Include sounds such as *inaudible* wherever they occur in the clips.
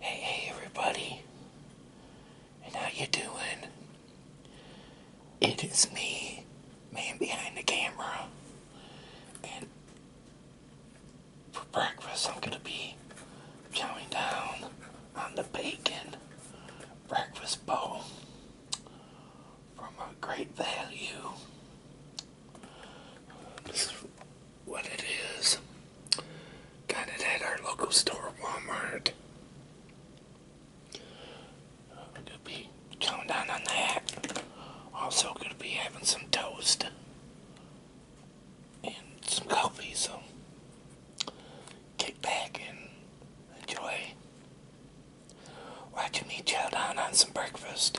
Hey, hey, everybody, and how you doing? It is me, man behind the camera, and for breakfast I'm gonna be chowing down on the bacon breakfast bowl from a great value what it is. Got it at our local store, Walmart. gonna be chowing down on that. Also gonna be having some toast and some coffee, so kick back and enjoy watching me chow down on some breakfast.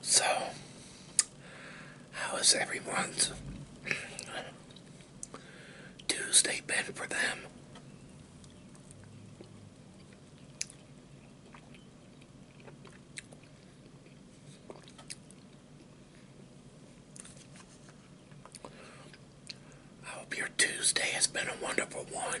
So, how how is everyone's Tuesday been for them? I hope your Tuesday has been a wonderful one.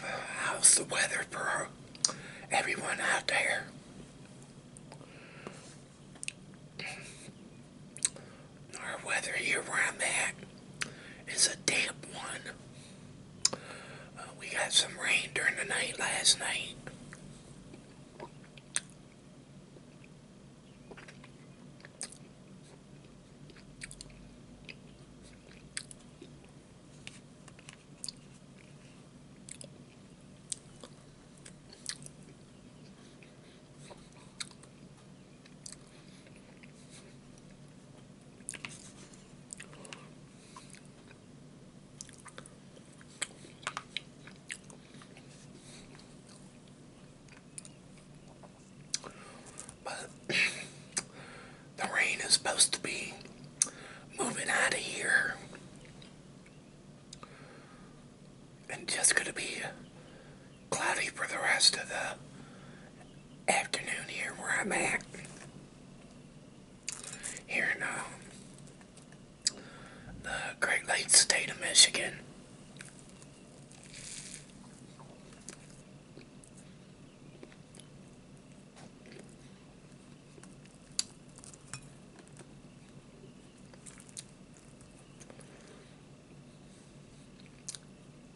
How's the weather for everyone out there? Our weather here where i is a damp one. Uh, we got some rain during the night last night. But the rain is supposed to be moving out of here and just going to be cloudy for the rest of the afternoon here where I'm at here in uh, the Great Lakes state of Michigan.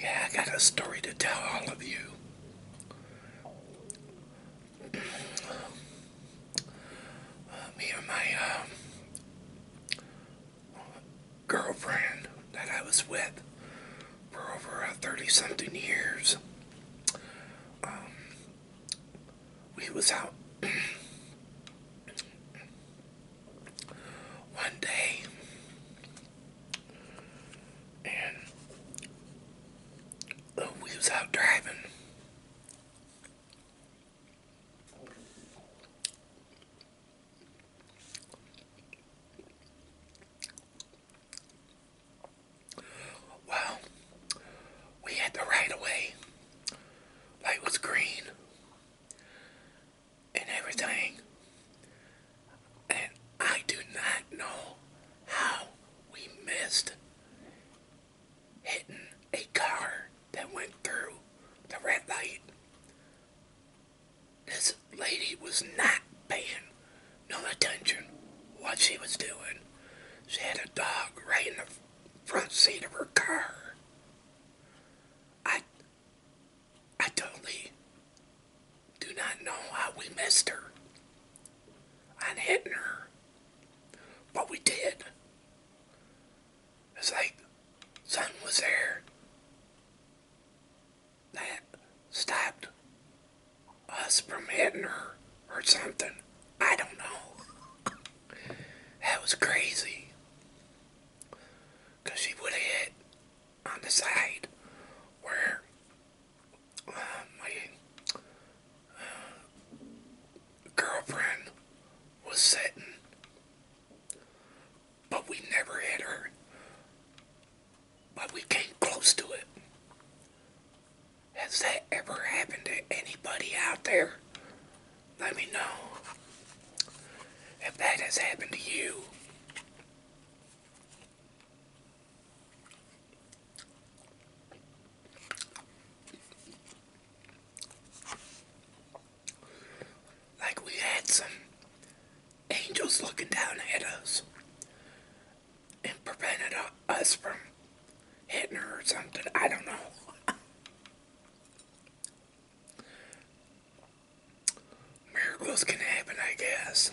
Yeah, I got a story to tell all of you me and my uh, girlfriend that I was with for over 30 something years. Um, we was out *clears throat* one day and oh, we was out driving. Well, we had the right of way. Light was green and everything and I do not know how we missed hitting a car that went through the red light. This lady was not paying no attention what she was doing. She had a dog right in the front seat of her car. I I totally do not know how we missed her on hitting her, but we did. It's like something was there that stopped us from hitting her or something. I don't know. that was crazy. Because she would have hit on the side where my girlfriend was sitting, but we never hit her. But we came close to it. Has that ever happened to anybody out there? Let me know if that has happened to you. Like we had some angels looking down at us and prevented us from hitting her or something. I don't know. *laughs* Miracles can happen, I guess.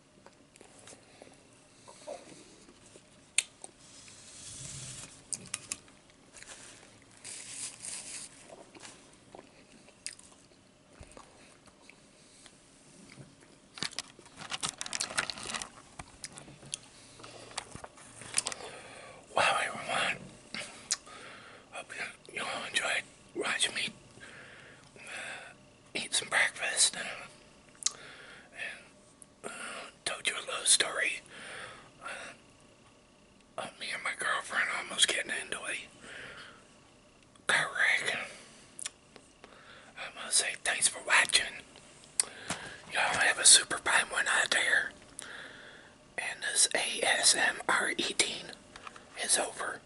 Wow, everyone. Hope you all enjoyed watching me eat some breakfast and, and uh, told you a little story. Uh, me and my girlfriend almost getting into a car I'm going to say thanks for watching. Y'all have a super fine one out there. And this ASMR eating is over.